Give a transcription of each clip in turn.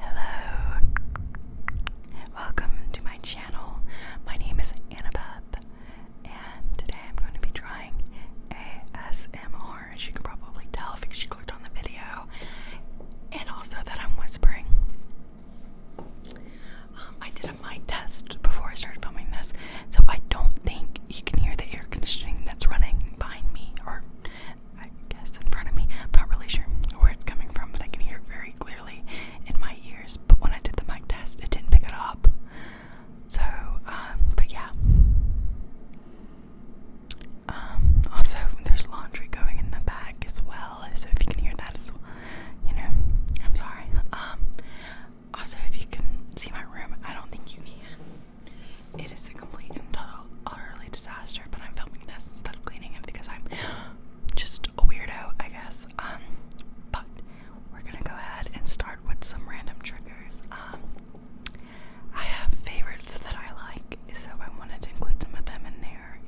Hello, welcome to my channel. My name is Annabeth, and today I'm going to be trying ASMR, as you can probably tell if you clicked on the video, and also that I'm whispering. Um, I did a mic test before I started filming this, so I don't think you can hear the air conditioning that's running behind me or I guess, in front of me. I'm not really sure where it's coming from, but I can hear it very clearly in my ears. But when I did the mic test, it didn't pick it up. So, um, but yeah. Um, also, there's laundry going in the bag as well, so if you can hear that as well, you know, I'm sorry. Um, also, if you can see my room, I don't think you can. It is a complete and total, utterly disaster, but I'm filming this instead of cleaning it because I'm just a weirdo, I guess. Um, but we're gonna go ahead and start with some random triggers. Um, I have favorites that I like, so I wanted to include some of them in there,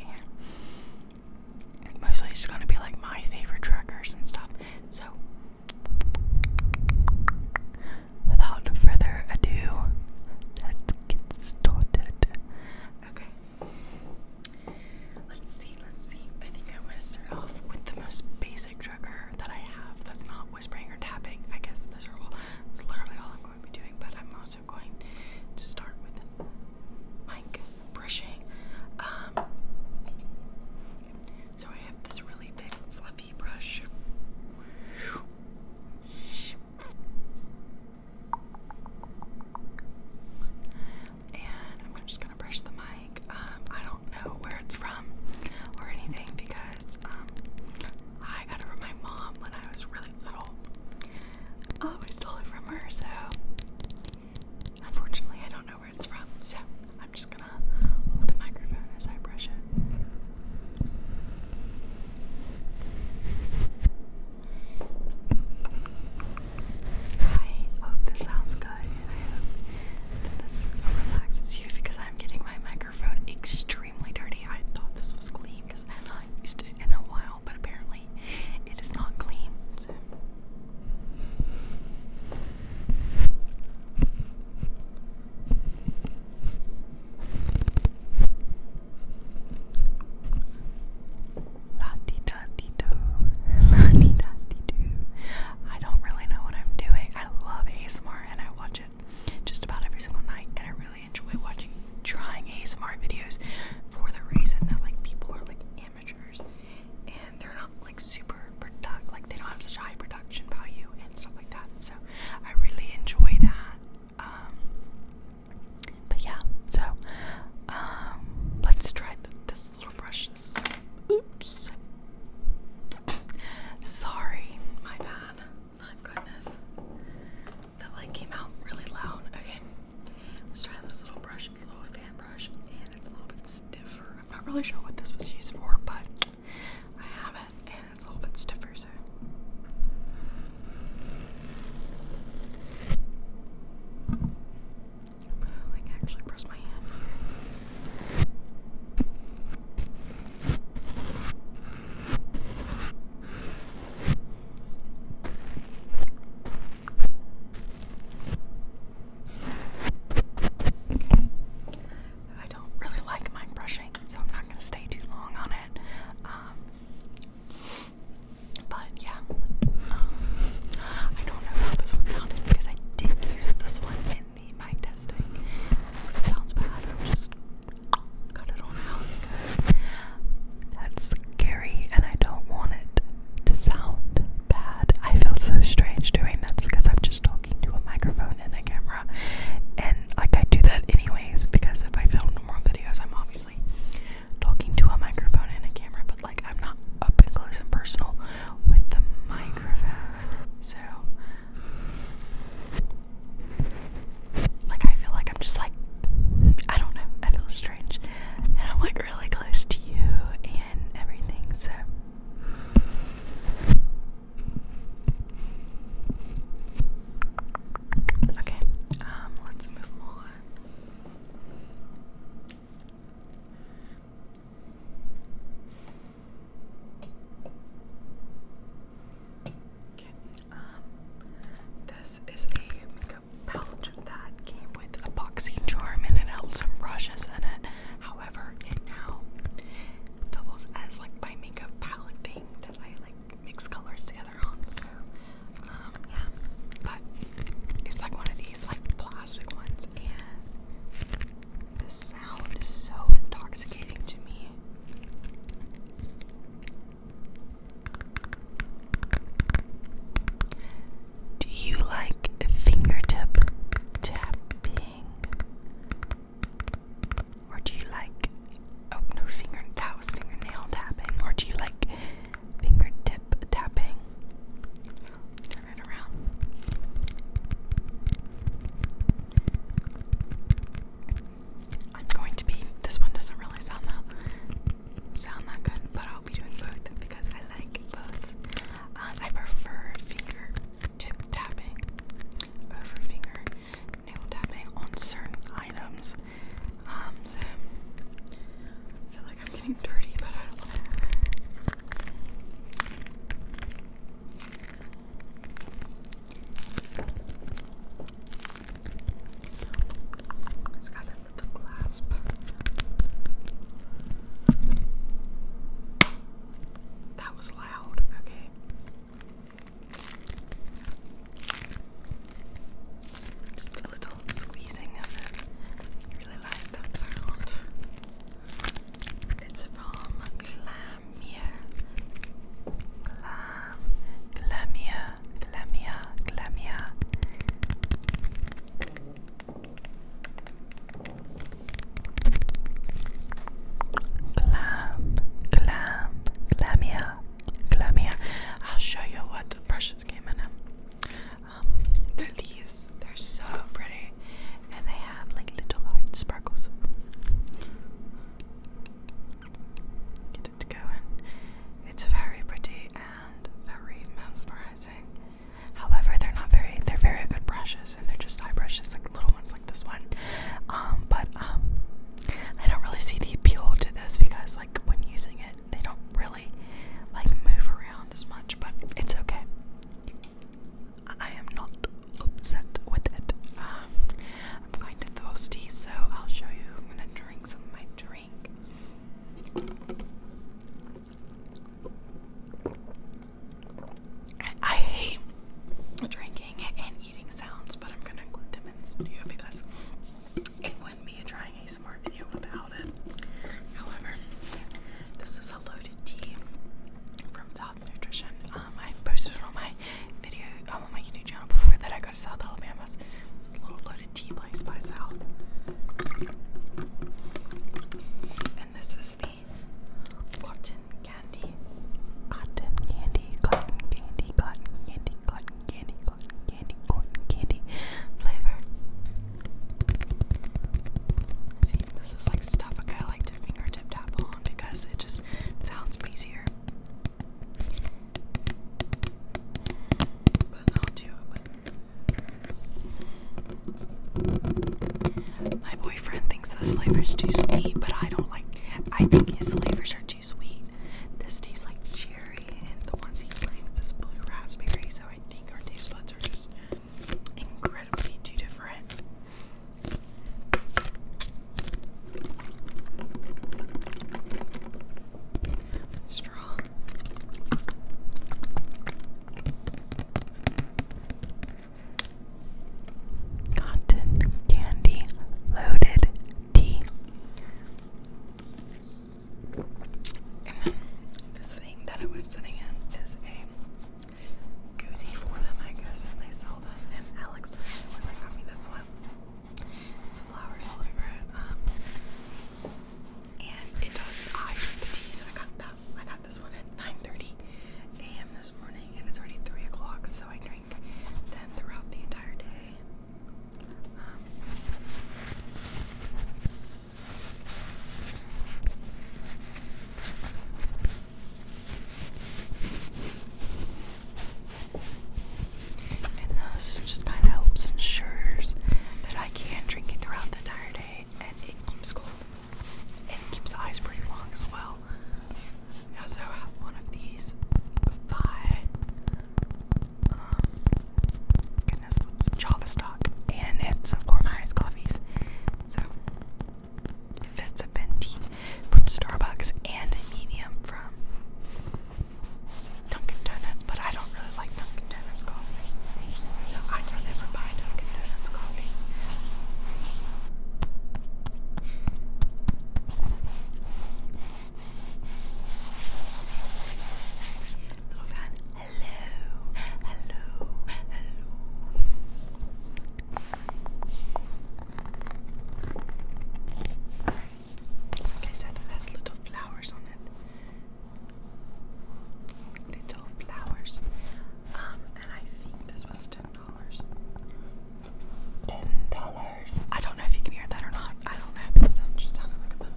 and mostly it's gonna be like my favorite triggers and stuff. So, without further ado, let's get started. Okay. Let's see, let's see. I think I am going to start off with the most basic trigger that I have that's not whispering or tapping. I guess this are all, that's literally all I'm going to be doing, but I'm also going to start with my brushing. Um, so I have this really big fluffy brush. And I'm just gonna brush the mic. Um, I don't know where it's from or anything because um, I got it from my mom when I was really little. Um, oh, I stole it from her, so unfortunately I don't know where it's from. So I'm just gonna hold the microphone as I brush it. I hope this sounds good this relaxes you because I'm getting my microphone extremely dirty. I thought this was clean because I've not used it in a while, but apparently it is not clean. La di da di I don't really know what I'm doing. I love ASMR and I watch it just about every single night and I really enjoy watching trying ASMR videos for the reason that like people are like amateurs and they're not like super product like they don't have such high production value and stuff like that. So I really enjoy that. Um, but yeah, so um, let's try this little brush. This oops. Sorry, my bad. My goodness. That light came out really loud. Okay, let's try this little brush. It's a little fan brush and it's a little bit stiffer. I'm not really sure what this was used for, but I have it and it's a little bit stiffer i don't really like my brushing, so I'm not going to stay too long on it. Um, but yeah, um, I don't know how this one sounded because I did use this one in the mic testing. it sounds bad, I just cut it all out because that's scary and I don't want it to sound bad. I feel so strange doing that because I'm just talking to a microphone and a camera. And like I do that anyways because if I film more videos, I'm obviously talking to a microphone and a camera, but like I'm not up and close and personal with the microphone. So, like, I feel like I'm just like, I don't know, I feel strange. And I'm like really close to you and everything, so. Okay, um, let's move Okay, um, this is a makeup pouch that came with a boxing charm and it held some brushes in it. However, it now doubles as like my makeup palette thing that I like mix colors together on. So, um, yeah. But it's like one of these like plastic ones, and the sound is so intoxicating to me. Do you like fingertip tapping? Or do you like Oh finger that was fingernail tapping. Or do you like fingertip tapping? Turn it around. I'm going to be this one doesn't really sound that sound that good, but I'll be doing both because I like both. Um, I prefer finger tapping over finger tapping on certain items. Um, so I feel like I'm getting dirty, but I don't want to. It's got that little clasp. That was loud, okay. Just a little squeezing of it. I really like that sound. It's from Clamia. Clam. Clamia. Clamia. Clamia. Clam. Clam. Clamia. I'll show you what the brush just came in them. Um, they're these. They're so pretty, and they have like little heart sparkles. Get it to It's very pretty and very mesmerizing. However, they're not very. They're very good brushes, and they're just eye brushes, like little ones, like this one. Um, but um, I don't really see the appeal to this because, like, when using it, they don't really like move around as much, but it's okay. I am not upset with it. Um, I'm kind of thirsty, so I'll show you. I'm gonna drink some of my drink. I hate drinking and eating sounds, but I'm gonna include them in this video because it wouldn't be a trying a smart video without it. However, this is a loaded tea from South Nutrition. Um, I posted on my video um, on my YouTube channel before that I go to South Alabama. little loaded tea place by South. And this is the cotton candy. Cotton candy, cotton candy, cotton candy, cotton candy, cotton candy, cotton candy flavor. See, this is like stuff I like to fingertip tap on because it just sounds easier. But I'll do it. My boyfriend thinks this flavor is too sweet, but I don't like. I think his flavors are too sweet. This tastes like cheese and the ones he claims is blue raspberry. So I think our taste buds are just incredibly too different. Strong. Cotton candy loaded tea this thing that I was sitting in is a koozie for them, I guess. And they sell them. And Alex is the one that got me this one. There's flowers all over it. Um, and it does eye the teas. And I got that. I got this one at 9:30 a.m. this morning, and it's already three o'clock. So I drink them throughout the entire day. Um, and this just kind of helps ensures that I can drink it throughout the entire day and it keeps cool. And keeps the eyes pretty long as well. I also have one of these by um, goodness, Java stock, and it's for my iced coffees. So it fits a venti from Starbucks and a medium from Dunkin' Donuts, but I don't really like Dunkin' Donuts coffee, so I don't ever buy Dunkin' Donuts coffee. Little fan. Hello, hello, hello. Like I said, it has little flowers on it. Little flowers. Um, and I think this was ten dollars. Ten dollars. I I don't know if you can hear that or not. I don't know if just sounded like a fun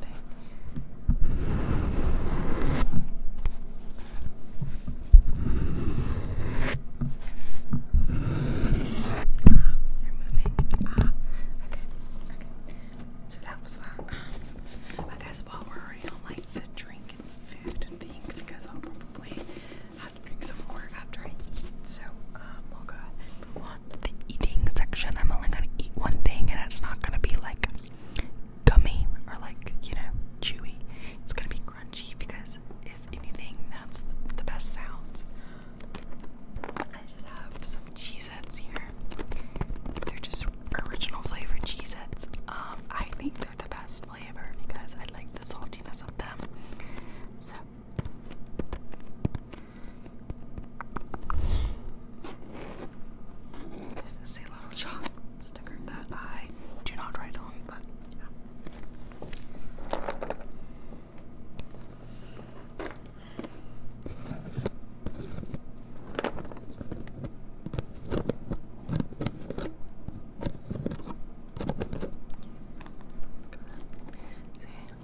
Ah, you're moving. Ah, okay, okay. So that was that. I guess while we're on like the drink and food thing, because I'll probably have to drink some more after I eat. So um, we'll go the eating section. I'm only gonna eat one thing, and it's not gonna be like gummy or like you know chewy. It's gonna be crunchy because if anything, that's the, best sounds. I just have some Cheez-Its here. They're just original flavored Cheez-Its. Um, I think they're the best flavor because I like the saltiness of them. So this is a little chalk sticker that I do not write on, but yeah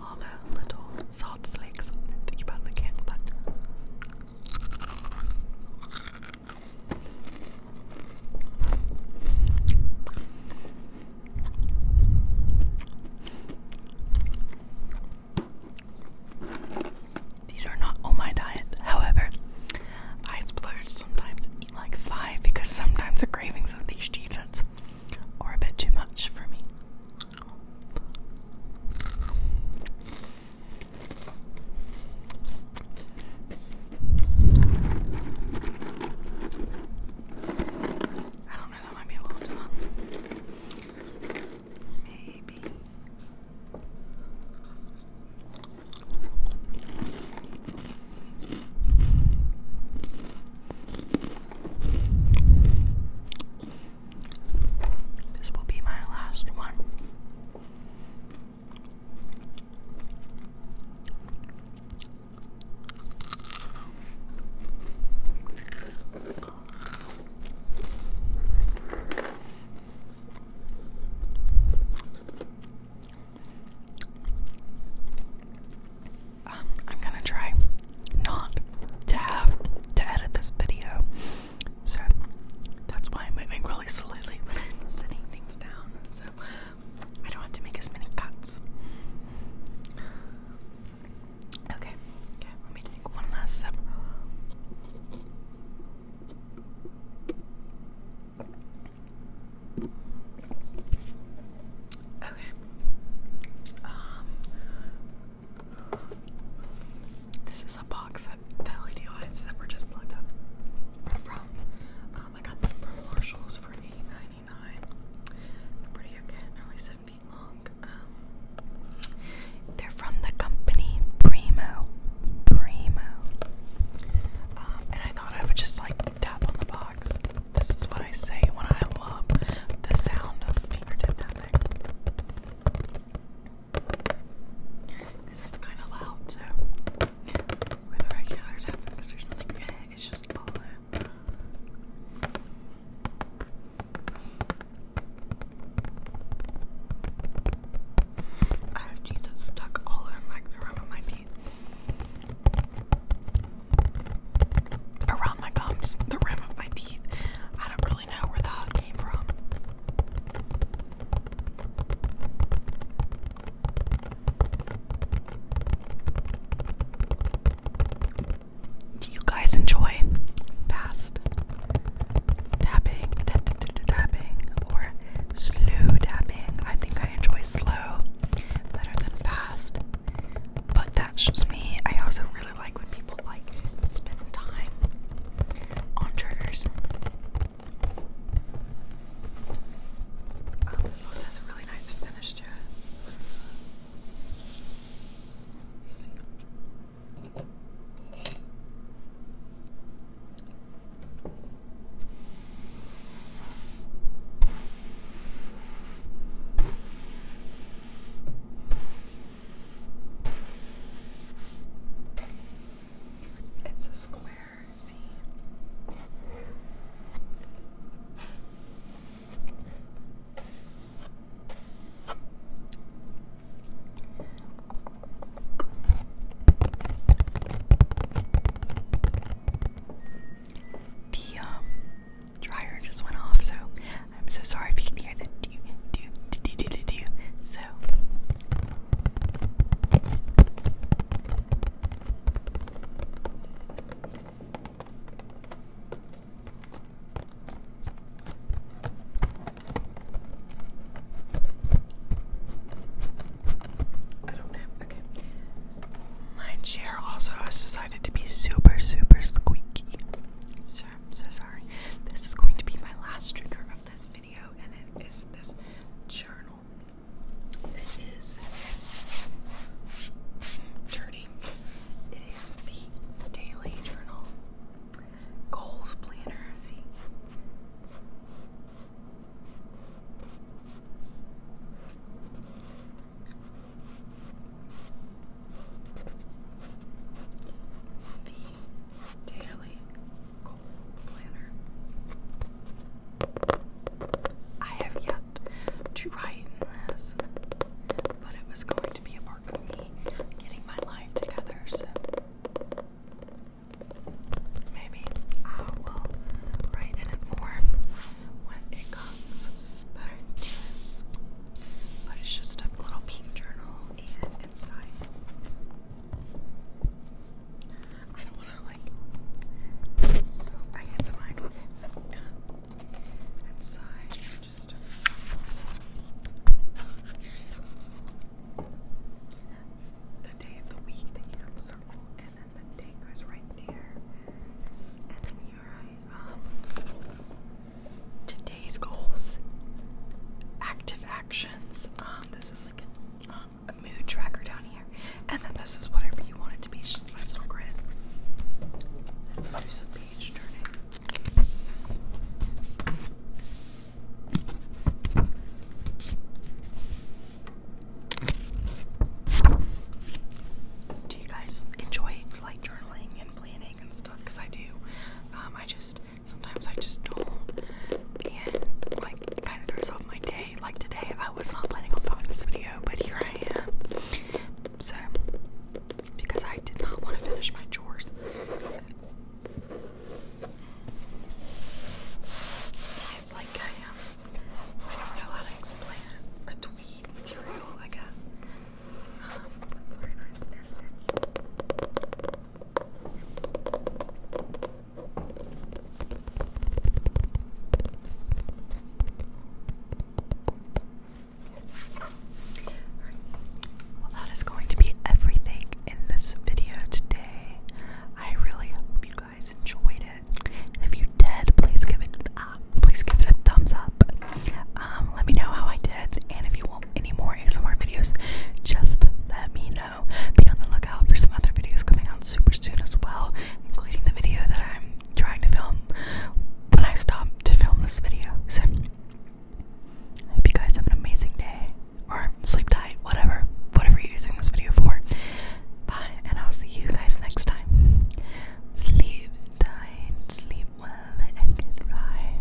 all little salt flakes on it. You probably but. These are not on my diet. However, I splurge sometimes eat like five because sometimes the cravings of these cheez are a bit too much for me. I don't know, that might be a little too long. Maybe. This will be my last one. Um, I'm gonna try not to have to edit this video so that's why I'm moving really slowly when I'm setting things down. So I don't have to make as many cuts. Okay, okay, let me take one last sip. Okay. Um, this is a box that the LED lights that were just plugged up from. Um, I got them from Marshalls for $8.99. They're pretty okay. They're only 7 feet long. Um, they're from the company Primo. Primo. Um, and I thought I would just like tap on the box. This is what I say when I love the sound of fingertip tapping. Because it's kind of loud, so with the regular because there's nothing it's just all there. I have Jesus stuck all in like the rim of my feet. Around my gums, the rim of my teeth. I don't do you guys enjoy fast tapping, or slow tapping? I think I enjoy slow better than fast, but that's just me. I also really I like when people like spend time on triggers. Oh, this also has a really nice finish to it. It's a square, see? The um, dryer just went off, so I'm so sorry if you can hear the do do do do do do. So I don't know. Okay. My chair also has decided to be super, super squeaky. So I'm so sorry. This is going to be my last drinker of this video, and it is this journal. It is dirty. It is the daily journal. Goals planner daily goal planner. I have yet to write in this, but it was going to be a part of me getting my life together, so maybe I will write in it more when it comes But it's just a little pink journal and inside. I don't want to like. Oh, I hit the mic. Inside, just. It's the day of the week that you can circle, and then the day goes right there. And then here I um today's goals, active actions. Um, this is like um, a, mood tracker down here, and then this is whatever you want it to be. It's just my little grid. Let's do some page turning. Do you guys enjoy like journaling and planning and stuff? Because I do. Um, I just Sometimes I just don't, and like kind of throws off my day. Like today, I was not planning on filming this video, but here I am. So, because I did not want to finish my chores. It's like I am. Um, I don't know how to explain A tweed material, I guess. Um, Alright. Well, that is going to be everything in this video today. I really hope you guys enjoyed it. if you did, please give it uh, please give it a thumbs up. Um, let me know how I did, and if you want any more ASMR videos, just let me know. Be on the lookout for some other videos coming out super soon as well, including the video that I'm trying to film when I stop to film this video. So, I hope you guys have an amazing day or sleep tight, whatever, whatever you're using this video for. Bye, and I'll see you guys next time. Sleep tight, sleep well, and get dry.